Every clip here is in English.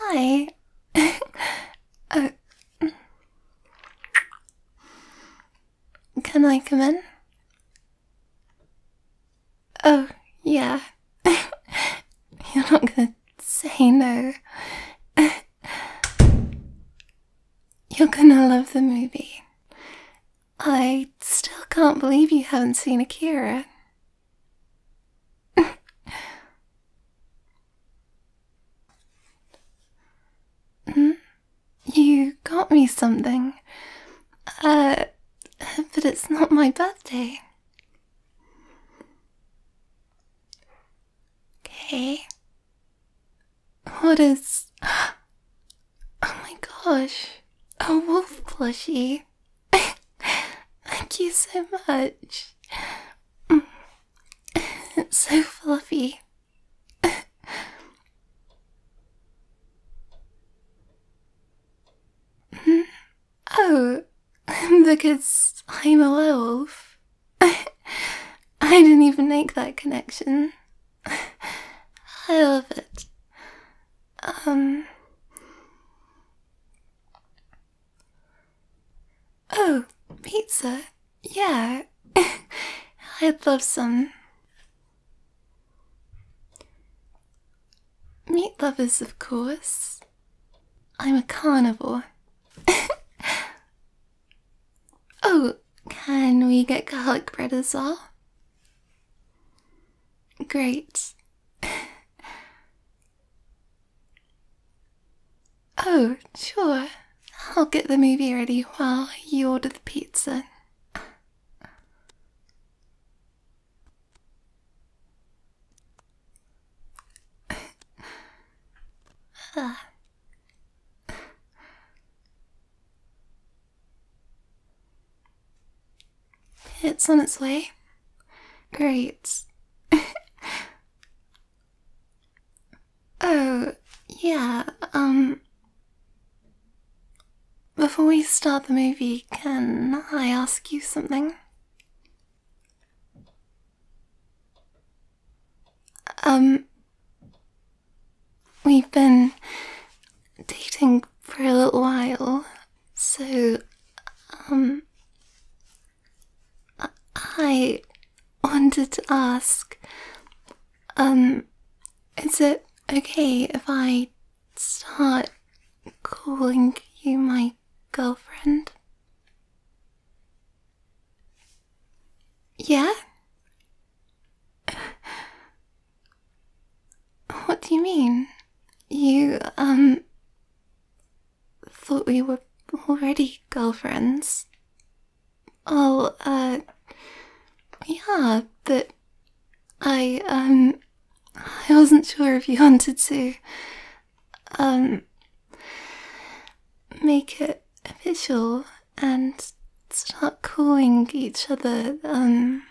Hi. Oh. can I come in? Oh, yeah. You're not gonna say no. You're gonna love the movie. I still can't believe you haven't seen Akira. Hmm? you got me something. Uh, but it's not my birthday. Okay. What is. Oh my gosh. A wolf plushie. Thank you so much. It's so fluffy. oh, because I'm a werewolf. I didn't even make that connection. I love it. Um. Oh, pizza. Yeah. I'd love some. Meat lovers, of course. I'm a carnivore. oh, can we get garlic bread as well? Great. oh, sure. I'll get the movie ready while you order the pizza. Ah. It's on its way. Great. oh, yeah, um. Before we start the movie, can I ask you something? Um. We've been dating for a little while, so, um, I wanted to ask, um, is it okay if I start calling you my girlfriend? Yeah? What do you mean? You, um, thought we were already girlfriends? Oh, uh, yeah, but I, um, I wasn't sure if you wanted to, um, make it official and start calling each other, um,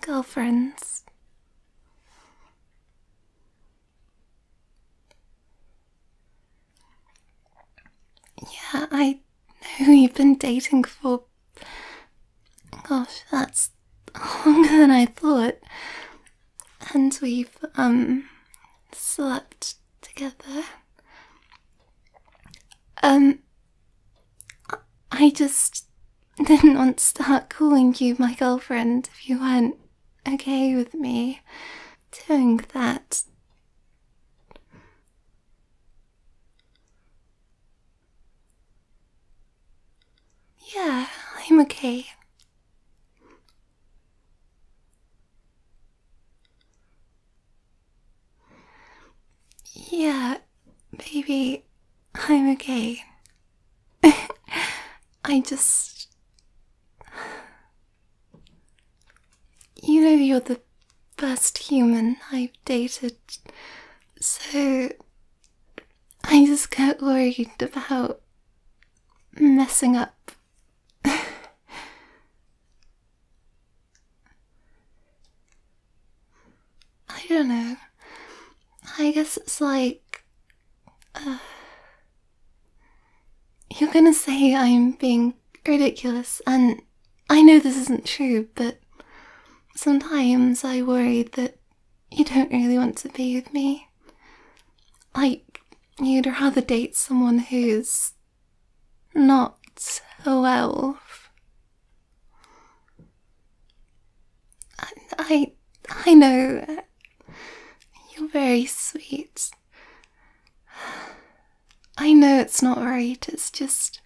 girlfriends. Yeah, I know you've been dating for. Gosh, that's longer than I thought. And we've, um, slept together. Um, I just didn't want to start calling you my girlfriend if you weren't okay with me doing that. Yeah, I'm okay. Yeah, Baby, I'm okay. I just. You know, you're the best human I've dated, so I just get worried about messing up. I don't know. I guess it's like. Uh, you're gonna say I'm being ridiculous, and I know this isn't true, but sometimes I worry that you don't really want to be with me. Like, you'd rather date someone who's not a 12. I, I, know. You're very sweet. I know it's not right, it's just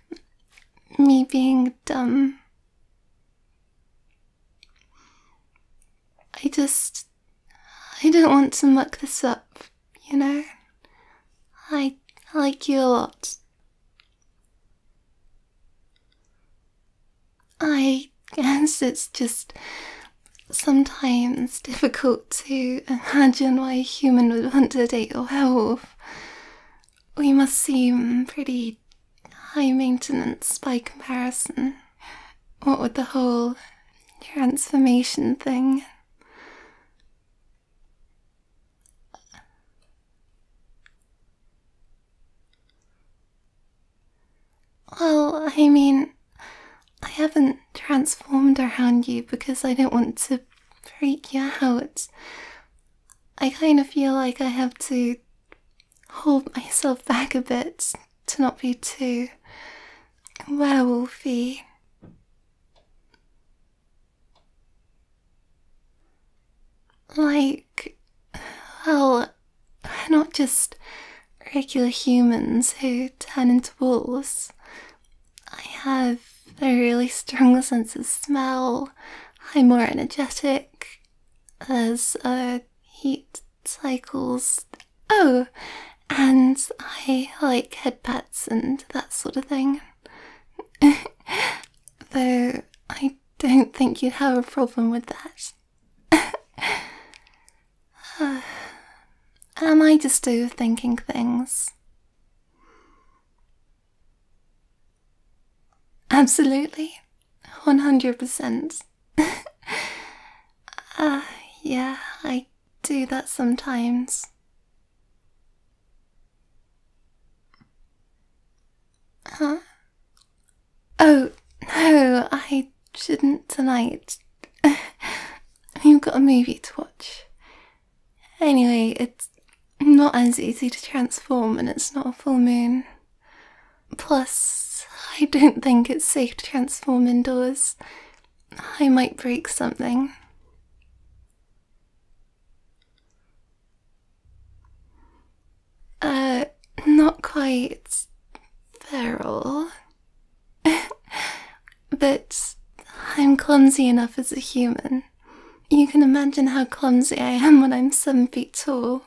me being dumb. I just. I don't want to muck this up, you know? I like you a lot. I guess it's just sometimes difficult to imagine why a human would want to date a wolf. We must seem pretty high maintenance by comparison. What with the whole transformation thing. Well, I mean, I haven't transformed around you because I don't want to freak you out. I kind of feel like I have to hold myself back a bit to not be too werewolfy. Like, well, not just regular humans who turn into wolves. I have a really strong sense of smell. I'm more energetic as uh, heat cycles. Oh, and I like head pets and that sort of thing. Though I don't think you'd have a problem with that. Am I just overthinking things? Absolutely. 100%. Ah, yeah, I do that sometimes. Huh? Oh, no, I shouldn't tonight. You've got a movie to watch. Anyway, it's not as easy to transform and it's not a full moon. Plus, I don't think it's safe to transform indoors. I might break something. Uh, not quite feral. but I'm clumsy enough as a human. You can imagine how clumsy I am when I'm seven feet tall.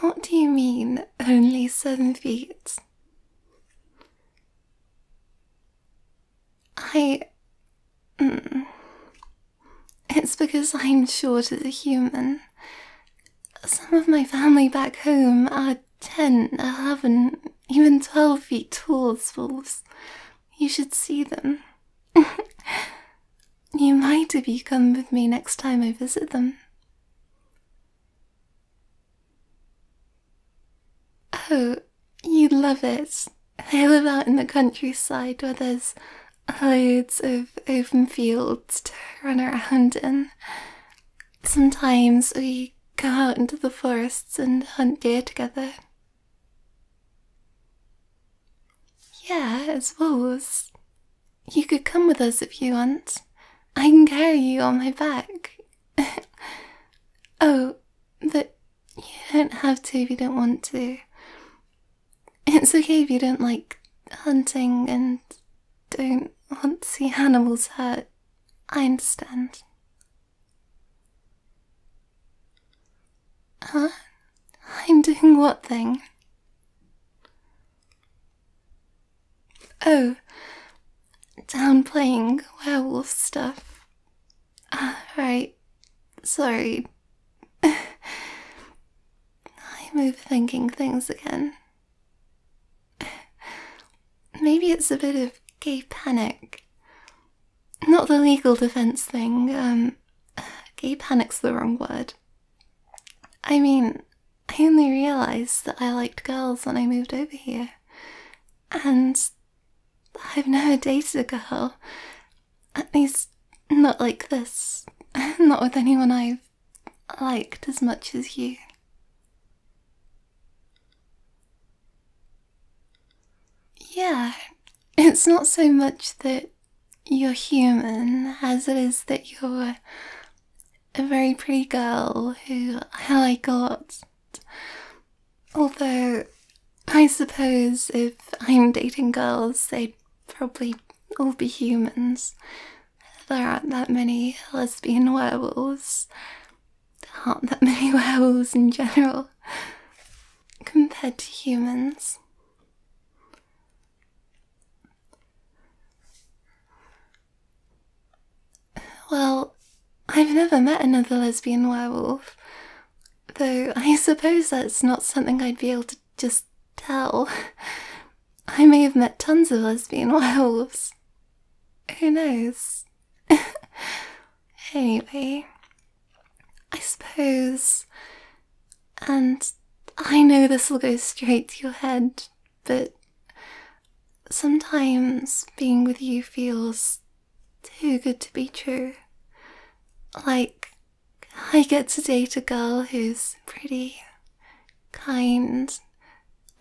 What do you mean, only seven feet? I. Mm, it's because I'm short as a human. Some of my family back home are 10, 11, even 12 feet tall, Swolves. You should see them. you might if you come with me next time I visit them. Oh, you'd love it. I live out in the countryside where there's loads of open fields to run around in. Sometimes we go out into the forests and hunt deer together. Yeah, as wolves. You could come with us if you want. I can carry you on my back. oh, but you don't have to if you don't want to. It's okay if you don't like hunting and don't want to see animals hurt. I understand. Huh? I'm doing what thing? Oh, downplaying werewolf stuff. Uh, right, sorry. I'm overthinking things again. Maybe it's a bit of gay panic. Not the legal defense thing, um, gay panic's the wrong word. I mean, I only realised that I liked girls when I moved over here. And I've never dated a girl. At least, not like this. Not with anyone I've liked as much as you. Yeah, it's not so much that you're human as it is that you're a very pretty girl who I like a Although, I suppose if I'm dating girls, they'd probably all be humans. There aren't that many lesbian werewolves. There aren't that many werewolves in general compared to humans. Well, I've never met another lesbian werewolf. Though I suppose that's not something I'd be able to just tell. I may have met tons of lesbian werewolves. Who knows? anyway, I suppose. And I know this will go straight to your head, but sometimes being with you feels too good to be true. Like, I get to date a girl who's pretty, kind,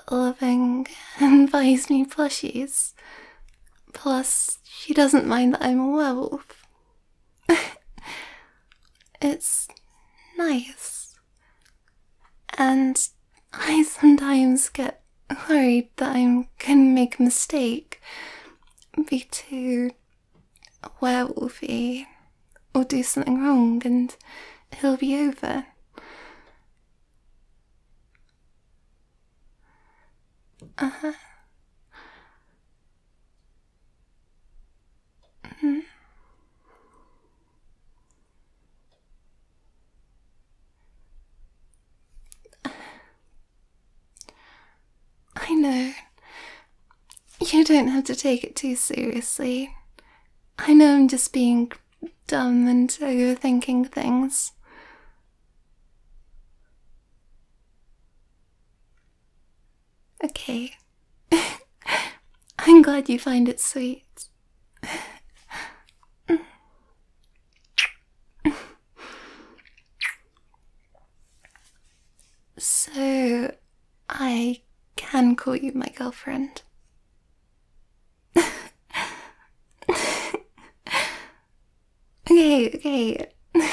loving, and buys me plushies. Plus, she doesn't mind that I'm a werewolf. it's nice. And I sometimes get worried that I'm gonna make a mistake, be too werewolfy, or do something wrong and it'll be over. Uh-huh. -hmm. I know. You don't have to take it too seriously. I know I'm just being dumb and overthinking things. Okay. I'm glad you find it sweet. So, I can call you my girlfriend. okay, okay.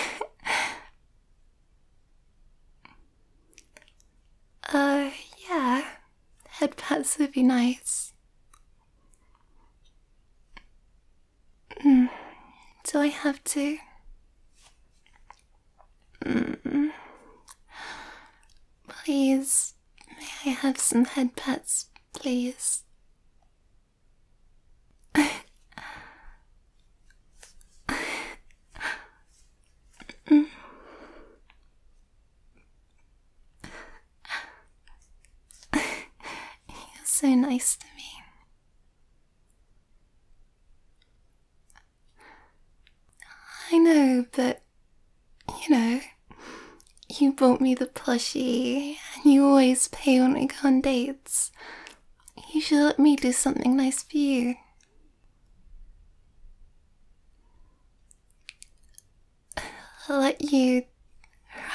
uh, yeah. Headpats would be nice. Do mm. I have to? Mm, please, may I have some head pets, please? You're so nice to me. I know, but you know, you bought me the plushie and you always pay when we go on dates. You should let me do something nice for you. I'll let you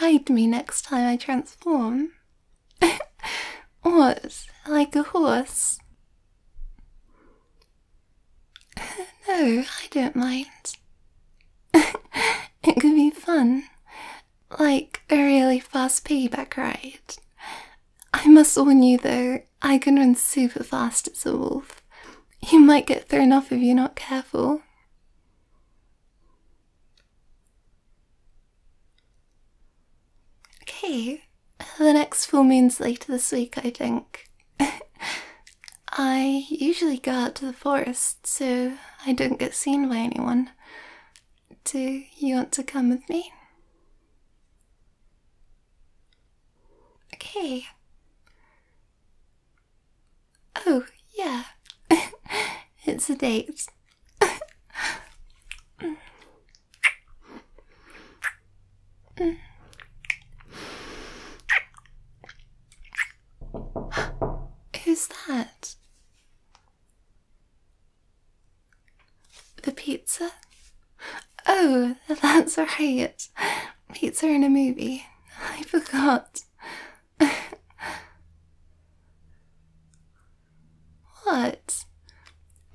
ride me next time I transform. What? Like a horse? No, I don't mind. it could be fun. Like a really fast payback ride. I must warn you though, I can run super fast as a wolf. You might get thrown off if you're not careful. Okay, the next full moon's later this week, I think. I usually go out to the forest so I don't get seen by anyone. Do you want to come with me? Okay. Oh, yeah. it's a date. Who's that? The pizza? Oh, that's right. Pizza in a movie. I forgot. what?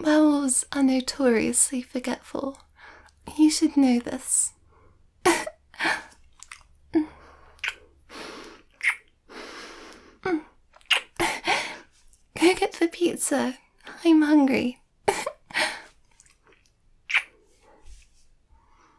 Werewolves are notoriously forgetful. You should know this. Go get the pizza. I'm hungry.